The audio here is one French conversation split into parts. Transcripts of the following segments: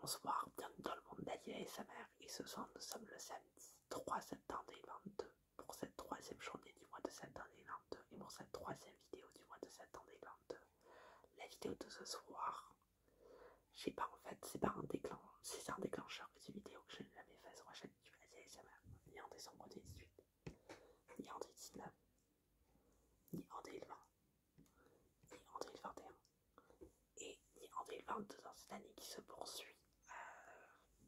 Bonsoir, bienvenue dans le monde d'Alia et sa Et ce soir, nous sommes le samedi 3 septembre 2022 pour cette troisième journée du mois de septembre 2022 et pour cette troisième vidéo du mois de septembre 2022. La vidéo de ce soir, je pas en fait, c'est pas un déclencheur, c'est un déclencheur que vidéo que je n'ai jamais faite sur la chaîne YouTube ASMR et ni en décembre 2018, ni en 2019, ni en 2020, ni en 2021 et ni en 2022 dans cette année qui se poursuit. Euh,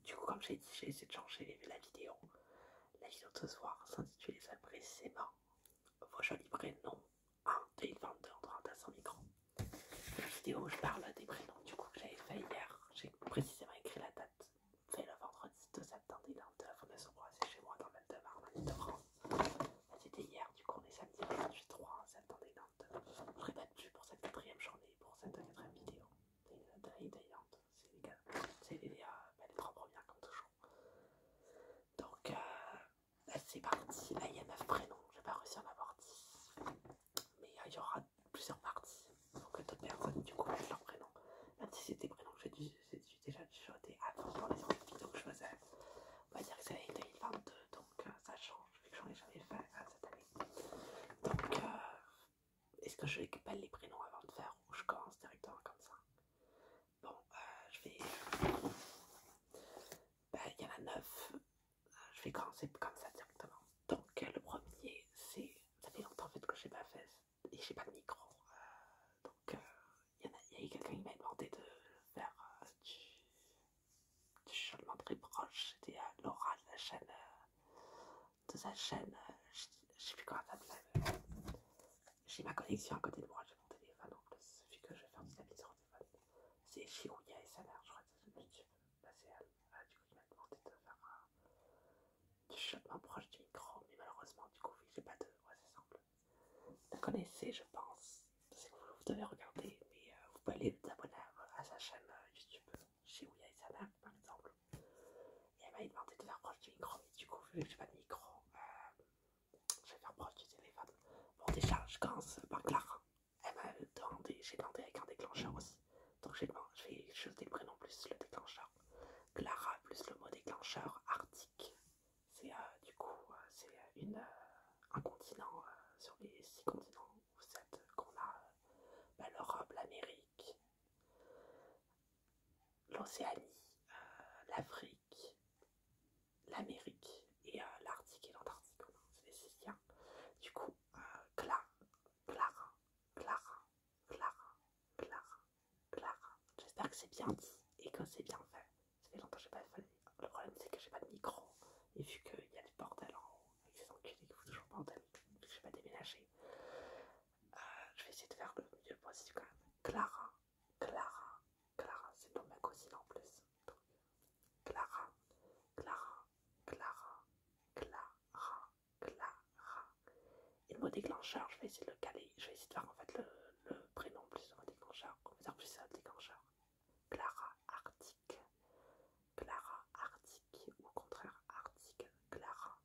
du coup, comme j'ai dit, j'ai essayé de changer la vidéo. La vidéo de ce soir s'intitule ça précisément Vos jolis prénoms en 2022 en train micro. La vidéo où je parle des prénoms du coup j'avais fait hier, j'ai précisément écrit la date fait le vendredi 2 septembre de se croiser chez moi dans le Val de de france c'était hier, du coup, on est samedi 28-3 septembre 2022. Je répète, pas de pour cette quatrième journée, pour cette quatrième vidéo. Euh, c'est les, c'est euh, bah, les, trois premières, comme toujours. Donc, euh, c'est parti. Là, il y a 9 prénoms, j'ai pas réussi à en avoir 10. Mais il y aura plusieurs parties. Pour que d'autres personnes, du coup, mettent leurs prénoms. Même si c'était prénoms j'ai déjà dû jeter avant dans les autres vidéos que je faisais. On va dire que c'est l'année 2022 donc euh, ça change, vu que j'en ai jamais fait euh, cette année. Donc, euh, est-ce que je récupère les prénoms avant de faire ou je commence directement comme ça Bon, je vais. Ben, il y en a 9, je vais commencer comme ça directement. Donc, le premier, c'est. Ça fait longtemps fait que je n'ai pas fait et j'ai pas de micro. donc, il y, a eu quelqu'un qui m'a demandé de faire euh, du, du très proche, c'était euh, Laura de la chaîne, euh, de sa chaîne, je je sais plus comment de s'appelle, j'ai ma connexion à côté de moi, j'ai mon téléphone donc il suffit que je vais faire petit tapis sur le téléphone, c'est Chirouya et sa je crois que c'est YouTube, bah c'est elle, ah, du coup il m'a demandé de faire du changement proche du micro, mais malheureusement du coup j'ai pas de, moi, c'est simple, la connaissez, je pense. C'est que vous, vous devez regarder, mais euh, vous pouvez aller vous abonner à, sa chaîne euh, YouTube chez Ouya et par exemple. Et elle m'a demandé de faire proche du micro, mais du coup, vu que pas de micro, euh, je vais faire proche du téléphone. Bon, déjà, je commence par Clara. Elle m'a demandé, j'ai demandé avec un déclencheur aussi. Donc, je vais jeter le prénom plus le déclencheur. Clara plus le mot déclencheur, Arctique c'est euh, du coup euh, c'est euh, un continent sur les six continents ou sept qu'on a bah, l'Europe, l'Amérique, l'Océanie, l'Afrique, l'Amérique et l'Arctique et l'Antarctique. C'est hein. Du coup, Clara, Clara, Clara, Clara, Clara, Clara. J'espère que c'est bien dit et que c'est bien fait. Ça fait longtemps que j'ai pas Le problème c'est que j'ai pas de micro et vu qu'il y a du bordel en haut et que c'est que qu'il faut toujours bordel, Je j'ai pas déménagé, euh, je vais essayer de faire le mieux possible quand même. Clara, Clara, Clara, c'est le nom ma cousine en plus. Clara, Clara, Clara, Clara, Clara. Et le mot déclencheur, je vais essayer de le caler, je vais essayer de faire en fait le le prénom plus ou moins déclencheur, plus Clara Arctic, Clara Arctic, au contraire Arctic Clara,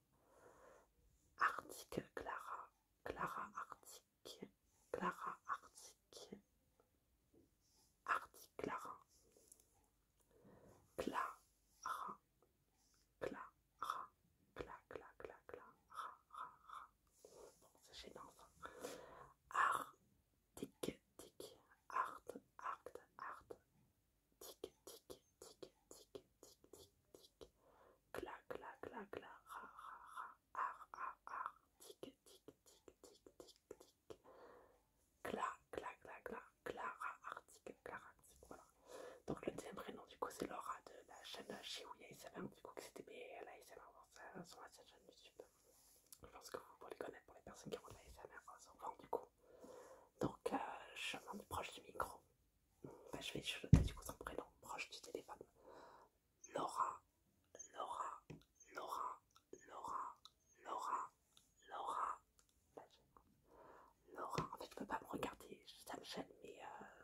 Arctic Clara, Clara Arctic, Clara Arctic, Arctic Clara, Clara, Clara, Cla, Cla, Cla, Cla, bon, c'est chez l'enfant. tic, art, art, art, tic, tic, tic, tic, tic, tic, tic, cla, cla, cla, cla, ra, ra, ra, ar, ar, ar, tic, tic, tic, tic, tic, tic, cla, cla, cla, cla, clara, cla, ra, voilà. Donc le deuxième prénom du coup c'est Laura de la chaîne Shibuya Isabelle, du coup que c'était sur ma chaîne YouTube. Je pense que vous pouvez les connaître pour les personnes qui ont de la SMR enfin, du coup. Donc, je euh, m'en proche du micro. je vais du coup son prénom proche du téléphone. Laura, Laura, Laura, Laura, Laura, Laura. Laura, en fait, tu peux pas me regarder, ça me chaîne, mais euh,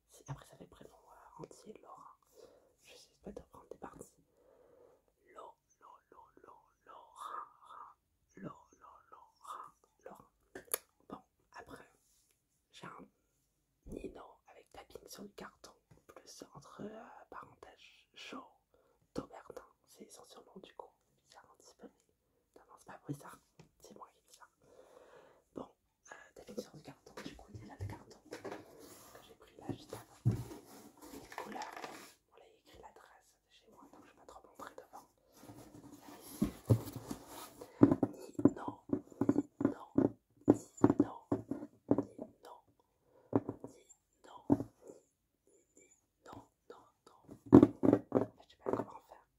Après, ça fait le prénom entier, Laura. Je sais pas de prendre des parties. Lo, lo, lo, lo, Laura, lo, lo, Laura, Laura. Bon, après, j'ai un Nino avec tapping sur le carton, plus entre euh, parenthèses, Joe, Taubertin, c'est essentiellement du coup. C'est un petit non, non, c'est pas bizarre, c'est moi qui dis ça. Bon, T'as D'habitude sur le carton, du il y a carton que j'ai pris là juste avant. Les couleurs, on l'a écrit l'adresse de chez moi, donc je vais pas trop devant. sais pas comment faire.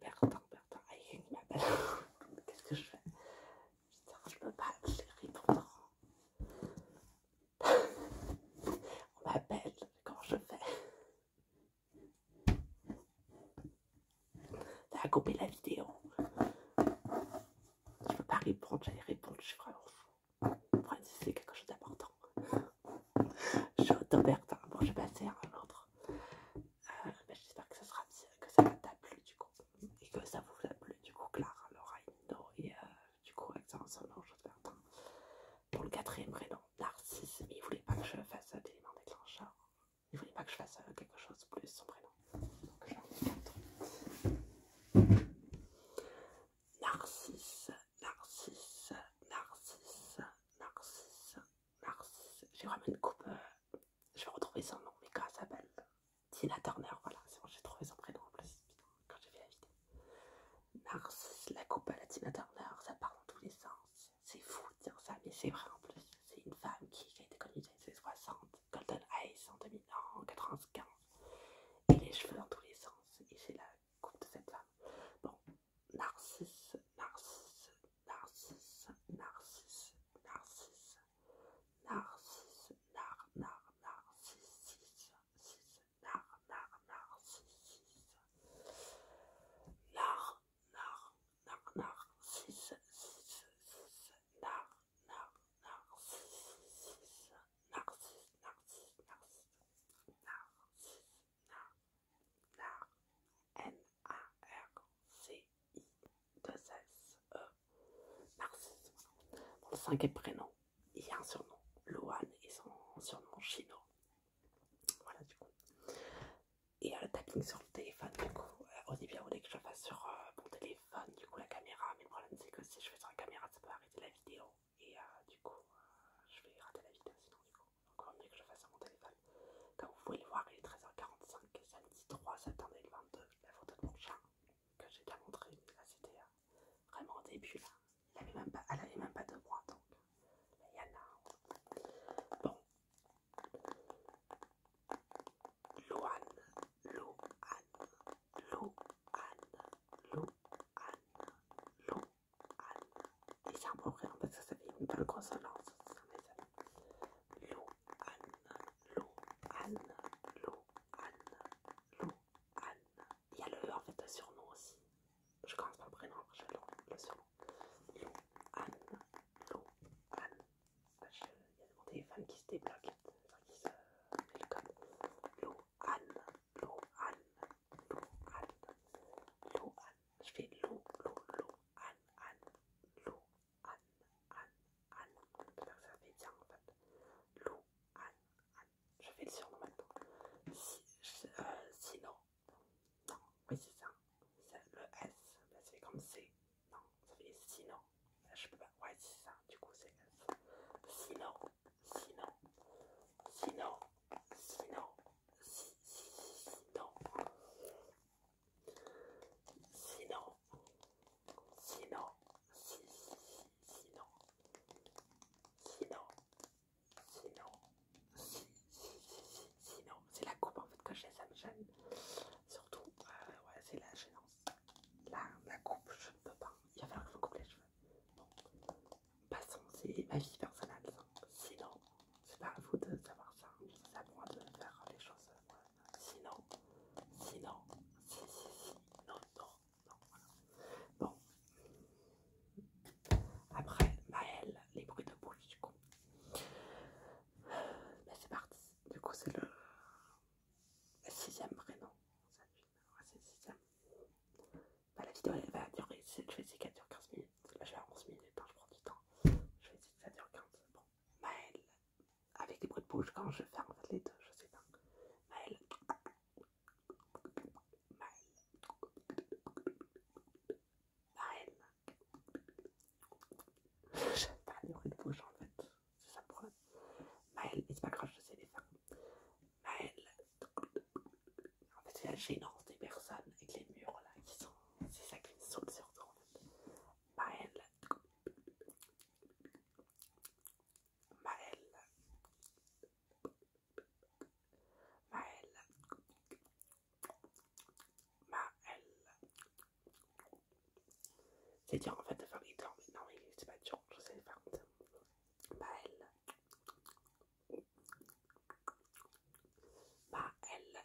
Bertin, Bertin, il m'appelle. Qu'est-ce que je fais Je oh, je peux pas je répondre. On m'appelle, comment je fais Ça a coupé la vidéo. Je peux pas répondre, j'allais répondre, je suis vraiment fou. Enfin, c'est quelque chose d'important. Je suis autant Bon, je vais passer à l'autre. Ah, ben, j'espère que ça va que ça t'a plu du coup et que ça vous a plu du coup Clara, Laura et et euh, du coup je Solange Bertin pour le quatrième prénom Narcisse mais il voulait pas que je fasse des éléments déclencheurs il voulait pas que je fasse euh, quelque chose de plus son prénom donc j'en ai quatre Narcisse Narcisse Narcisse Narcisse Narcisse j'ai vraiment une coupe euh, je vais retrouver son nom, mais quand ça s'appelle Tina Turner, voilà, c'est bon, j'ai trouvé son prénom en plus, quand j'ai fait la vidéo. Narcisse, la coupe à la Tina Turner, ça part dans tous les sens. C'est fou de dire ça, mais c'est vrai en plus. C'est une femme qui, a été connue dans les années 60, Golden Eyes en 2000 en 95, et les cheveux dans tous les sens, et c'est la coupe de cette femme. Bon, Narcisse, Narcisse, Narcisse, Narcisse, Narcisse, Narcisse, Nar, Nar, Narcisse, Nar, Nar, Narcisse, Nar, Nar, Nar, Narcisse, Nar, Nar, Narcisse, Narcisse, Narcisse, Narcisse, Narcisse, Nar, Nar, n a r c i 2 s e Narcisse. Mon cinquième prénom, il y a un surnom, Loane, et son surnom, Chino. Voilà, du coup. Et le euh, tapping sur le téléphone, du coup, au début, on voulait que je fasse sur euh, mon téléphone, du coup, la caméra. Mais le problème, c'est que si je fais sur la caméra, ça peut arrêter la vidéo. Et euh, du coup, je vais rater la vidéo sinon, du coup. Encore mieux que je le fasse sur mon téléphone. Comme vous pouvez le voir, il est 13h45, samedi 3 septembre 2022. La photo de mon chat que j'ai déjà montré, c'était euh, vraiment au début. elle n'avait même pas de moi donc. Il y en a. Bon. loan loan loan loan Louane. Et j'ai un parce que ça fait une belle consonance. Lou-anne, Lou-anne, Lou-anne, Lo anne Il y a le e, en fait le surnom aussi. Je commence par le prénom, je le, le surnom. Lou-anne, Lo anne Il y a des fans qui se débloquent. enfin, qui se Lou-anne, le anne Louane, anne Louane, anne Je fais Lou, Lou, Lo Anne, Louane. Anne, Anne, Anne. faire ça fait bien en fait. Lou, Anne, Anne. Je fais le surnom maintenant. Si, sinon, non, oui c'est ça. Le S, ça fait comme C. Non, ça fait sinon. Je peux pas. Ouais, c'est ça. Du coup, c'est S. Sinon, sinon, sinon, sinon, sinon. Sinon, sinon, si, si, sinon, sinon, sinon, si, si, si, sinon. C'est la coupe en fait que j'ai, ça me gêne. Surtout, euh, ouais, c'est la gênance. la coupe, je ne peux pas. Il va falloir que je coupe les cheveux. Bon, passons, c'est ma vie personnelle. Sinon, c'est pas à vous de savoir ça, hein. c'est à moi de faire les choses. Sinon, sinon, si, si, si, non, non, non, voilà. Bon. Après, Maël, bah, les bruits de bouche, du coup. Mais c'est parti. Du coup, c'est le sixième prénom. C'est bah, la vidéo, va durer, je vais essayer qu'elle dure 15 minutes. Là, bah, je vais à 11 minutes, je prends du temps. Je vais essayer de faire 15. Bon, Maëlle, avec les bruits de bouche, quand je ferme les deux, je sais pas. Maëlle. Maëlle. Maëlle. J'aime pas les bruits de bouche en fait. C'est ça le problème. Maëlle, et c'est pas je sais les faire. Maëlle. En fait, c'est la gênance des personnes avec les murs là qui sont c'est ça qui saute sur toi en fait. Maël, Maël, Maël, Maël. C'est dur en fait de faire les tours mais non, mais c'est pas dur, je sais faire comme elle. Maël. Maël,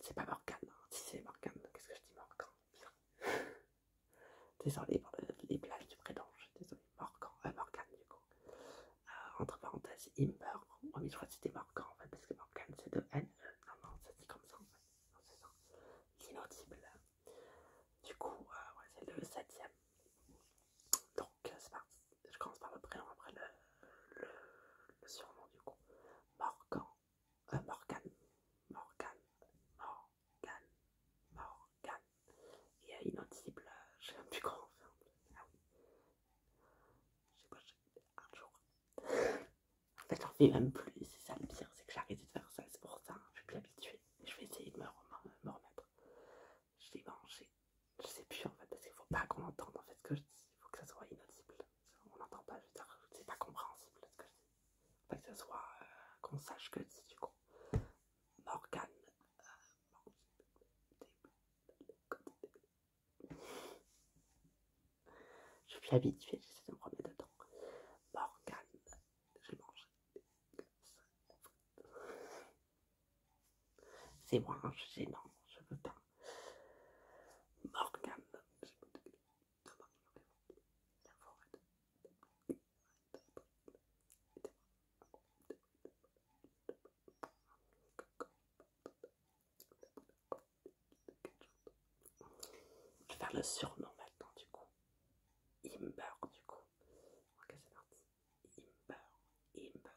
C'est pas Morgane, hein. si c'est Morgane, qu'est-ce que je dis Morgane Désolé pour les plages du prénom, je désolé, Morgan, euh, Morgane du coup. Euh, entre parenthèses, il meurt, oh, je crois que c'était Morgane en fait, parce que Morgane c'est de N, e. non, non, ça se dit comme ça en c'est inaudible. Du coup, euh, c'est le 7ème, Donc, c'est parti je commence par le prénom, après le, le, surnom du coup. Morgan, Morgane, euh, Morgan, Morgan, Morgan, Morgan. Et euh, inaudible, euh, je sais même plus grand on Ah oui. Je sais pas, un jour. en fait, j'en fais même plus, c'est ça le pire, c'est que j'ai arrêté de faire ça, c'est pour ça, je suis plus habituée. Je vais essayer de me, remettre je remettre. J'ai mangé je sais plus en fait, parce qu'il ne faut pas qu'on entende en fait ce que je dis, il faut que ça soit inaudible. On n'entend pas, je veux dire, c'est pas compréhensible ce que je dis. Faut que ça soit, euh, qu'on sache que je dis du coup, euh, Morgane. je suis habituée, j'essaie de me remettre dedans. Morgane, Je mange j'ai mangé. C'est moi, hein, je sais non, je veux pas. Morgan. je je vais faire le surnom maintenant du coup. Imber du coup. Ok c'est parti. Imber. Imber.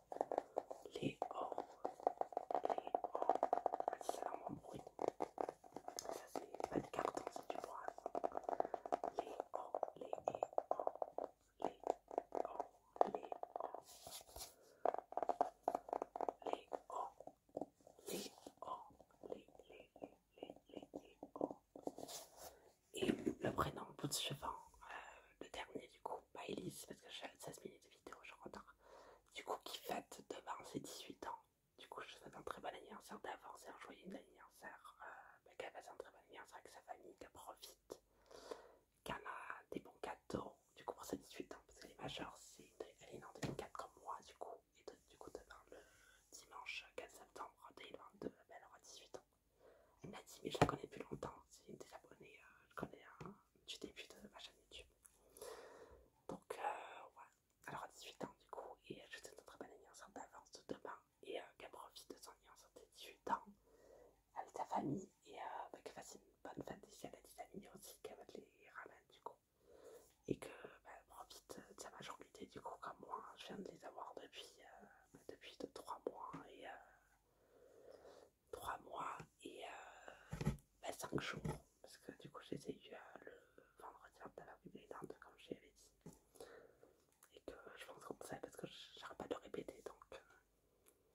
les O, les O, c'est bon bruit. Ça, c'est pas de carton, c'est du bois Les O, les O, les O, les O, les O, les O, les les les les les O. Et le prénom bout de cheval, le dernier du coup, bah Elise, parce que j'ai 16 minutes de vidéo, je retard. Du coup, qui fête demain ses 18 ans. Du coup, je souhaite un très bon anniversaire d'avance et un joyeux anniversaire. Euh, bah, qu'elle passe un très bon anniversaire avec sa famille, qu'elle profite, qu'elle a des bons cadeaux. Du coup, pour ses 18 ans, parce qu'elle est majeure, elle est née en 2004 comme moi, du coup. Et du coup, demain, le dimanche 4 septembre 2022, bah, elle aura 18 ans. Elle m'a dit, mais je la connais depuis longtemps, c'est une des abonnées, euh, je connais depuis hein, du début de ma chaîne YouTube. Donc, voilà, euh, ouais, alors 18 ans du coup, et je te souhaite un très bon anniversaire d'avance de demain, et euh, qu'elle profite de son anniversaire de 18 ans avec sa famille, et bah, qu'elle fasse une bonne fête si elle a des amis aussi, qu'elle va les ramener du coup, et qu'elle bah, profite de sa majorité du coup, comme moi, hein. je viens de les avoir depuis, 2-3 bah, mois, hein. et 3 mois et 5 euh, ben, jours parce que du coup j'ai essayé euh, le vendredi de la dents comme je l'avais dit et que je pense qu'on sait parce que j'arrête pas de répéter donc euh,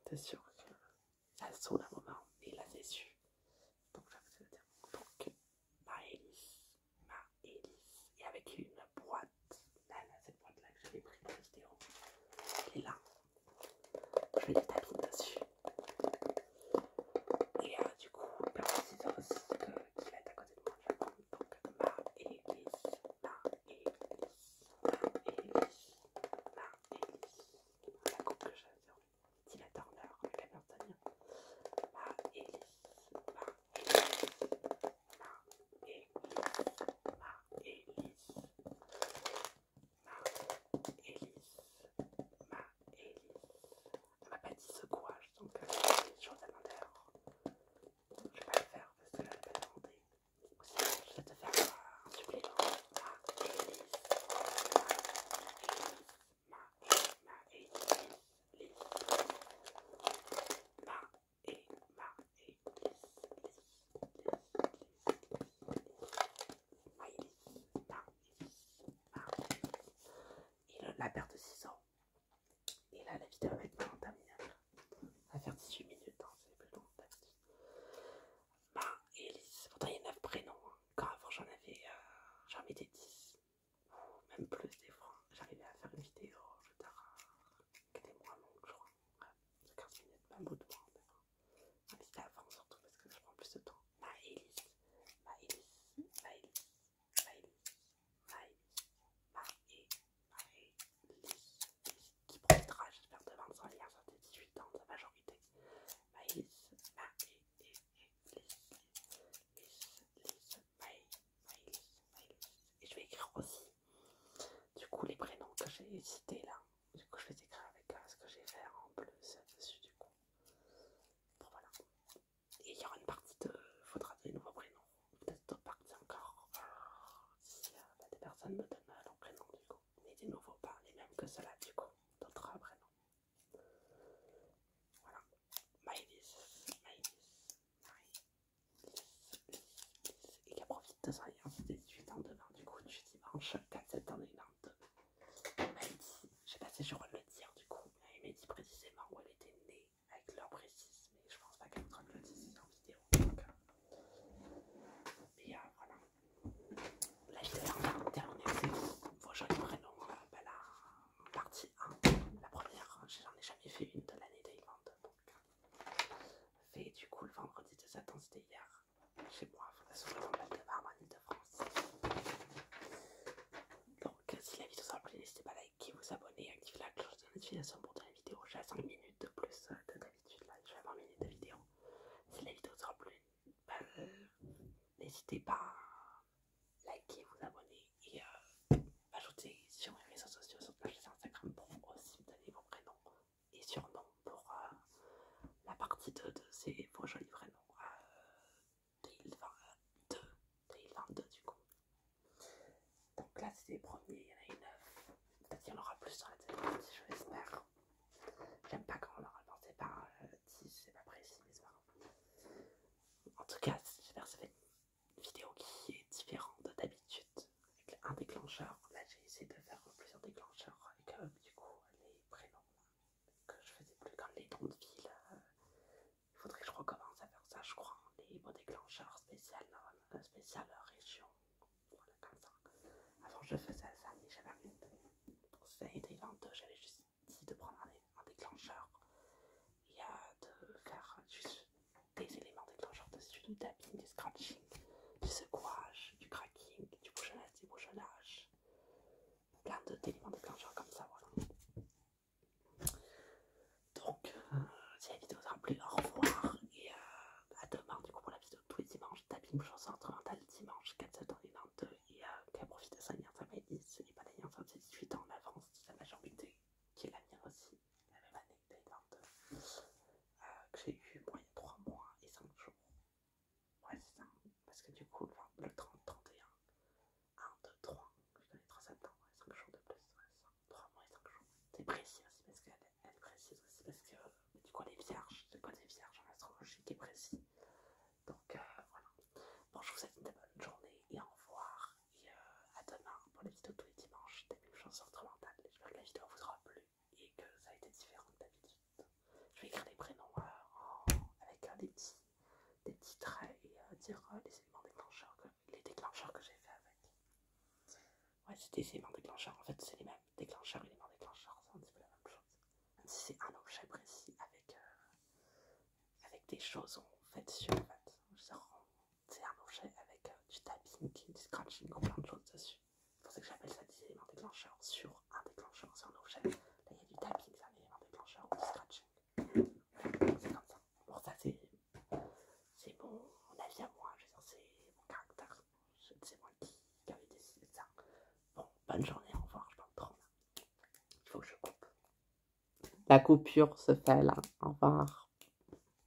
c'est sûr que ça sonne un moment et la c'est sûr donc je vais dire donc ma hélice et avec une boîte là, cette boîte là que j'avais pris dans la vidéo elle est là je vais dessus. et du coup va à côté de moi. Donc ma hélice, ma ma ma Ma ma ma Ma ma Elise, ma Elise. Elle m'a pas dit ce gouache, donc euh, j'ai une chose à l'intérieur. Je vais pas le faire parce que je l'ai pas demandé. je vais te faire euh, un supplément. Elise. Ma Elise. Ma Maëlys. Ma et une main et une lisse, et la paire de 6 ans. Et là, la vidéo va être maintenant terminée Ça va faire 18 minutes, hein, c'est plus long d'habitude. Main ma lisse. Pourtant, il y a 9 prénoms. Hein. Quand avant, j'en avais, euh, j'en mettais 10. Ou même plus des fois. Hein. J'arrivais à faire une vidéo, je t'arrête que des mois longue, je crois. C'est 15 minutes, de avant surtout parce que je prends plus de temps. Maëlys, Maëlys, Maëlys, qui j'espère, sur tes 18 ans, sa majorité et je vais écrire aussi du coup les prénoms que j'ai cités là du coup je vais écrire avec euh, ce que j'ai fait en bleu dessus du coup voilà et il y aura une partie de faudra des nouveaux prénoms peut-être d'autres parties encore si bah, des personnes me donnent euh, leurs prénoms du coup mais des nouveaux pas les mêmes que cela, du coup d'autres euh, prénoms voilà Maïlis Maïlis Marie et a profite de ça. Et ensuite, elle 18 ans demain, du coup, du dimanche 4 septembre 2022. Elle dit, je sais pas si je le dire du coup, il elle m'a dit précisément où elle était née avec l'heure précise, mais je pense pas qu'elle me le dise en vidéo. Mais et euh, voilà. La vidéo est terminée, c'est vos jolis prénoms. la partie 1, la première, j'en ai jamais fait une de l'année 2022 fait du coup le vendredi de Satan, c'était hier, chez moi, de de France. Donc, euh, si la vidéo vous a plu, n'hésitez pas à liker, vous abonner, activer la cloche de notification pour toutes la vidéo. J'ai 5 minutes de plus que euh, d'habitude, là, je vais 20 minutes de vidéo. Si la vidéo vous a plu, bah, euh, n'hésitez pas à liker, vous abonner et ajouter sur mes réseaux sociaux, sur ma chaîne Instagram pour aussi me donner vos prénoms et sûrement pour la partie 2 de ces projets jolis 2022, euh, du coup. Donc là c'est les premiers, il y en a 9. Peut-être qu'il y en aura plus sur la deuxième partie, je l'espère. J'aime pas quand on leur avancé par 10, euh, c'est pas précis, mais c'est pas grave. En tout cas, j'espère que ça fait une vidéo qui est différente d'habitude un déclencheur. Là, j'ai essayé de faire plusieurs déclencheurs avec du coup, les prénoms que je faisais plus comme les noms de ville, il euh, faudrait que je recommence à faire ça, je crois. Les mots déclencheurs spécial, spéciales spécial euh, région, voilà comme ça. Avant, je faisais ça, mais j'avais Pour j'avais juste dit de prendre un, déclencheur et euh, de faire juste des éléments déclencheurs dessus, du tapping, du scratching, du secouage, du cracking, du bouchonnage, du bouchonnage. Plein éléments déclencheurs comme ça, voilà. Donc, si la vidéo vous a plu, au revoir et euh, à demain du coup pour la vidéo tous les dimanches. Tapping, entre mental, dimanche 4 septembre 2022 et euh, qu'elle profite de sa nièce, ça m'a 10, ce n'est pas d'ailleurs, nièce, c'est 18 ans en avance, c'est la majorité, qui est la mienne aussi la même année euh, que j'ai eu moi, il y a 3 mois et 5 jours. Ouais, c'est ça, parce que du coup, le 30, 31, 1, 2, 3, je connais 3 septembre, et 5 jours de plus, 3 mois et 5 jours. C'est précis aussi parce qu'elle est précise aussi parce que du coup, elle est vierge, quoi les vierges en astrologie qui est précis. Donc euh, voilà. Bon, je vous souhaite une bonne journée et au revoir. Euh, à demain pour les vidéos tous les dimanches des mêmes choses J'espère que la vidéo vous aura plu et que ça a été différent d'habitude. Je vais écrire des prénoms euh, avec euh, des, petits, traits et euh, dire les éléments déclencheurs que, les déclencheurs que j'ai fait avec. Ouais, c'est des éléments déclencheurs. En fait, c'est les mêmes déclencheurs, éléments déclencheurs, c'est un petit peu la même chose. Même si c'est un objet précis avec, avec des choses en fait sur le mat c'est un objet avec euh, du tapping, du scratching ou plein de choses dessus. C'est pour ça que j'appelle ça des éléments déclencheurs sur un déclencheur, sur un objet. Là, il y a du tapping, c'est un élément déclencheur ou du scratching. C'est comme ça. Bon, ça, c'est mon avis à moi, je veux dire, c'est mon caractère. C'est moi qui, qui avais décidé ça. Bon, bonne journée, au revoir, je parle trop là. Il faut que je coupe. La coupure se fait là, au revoir.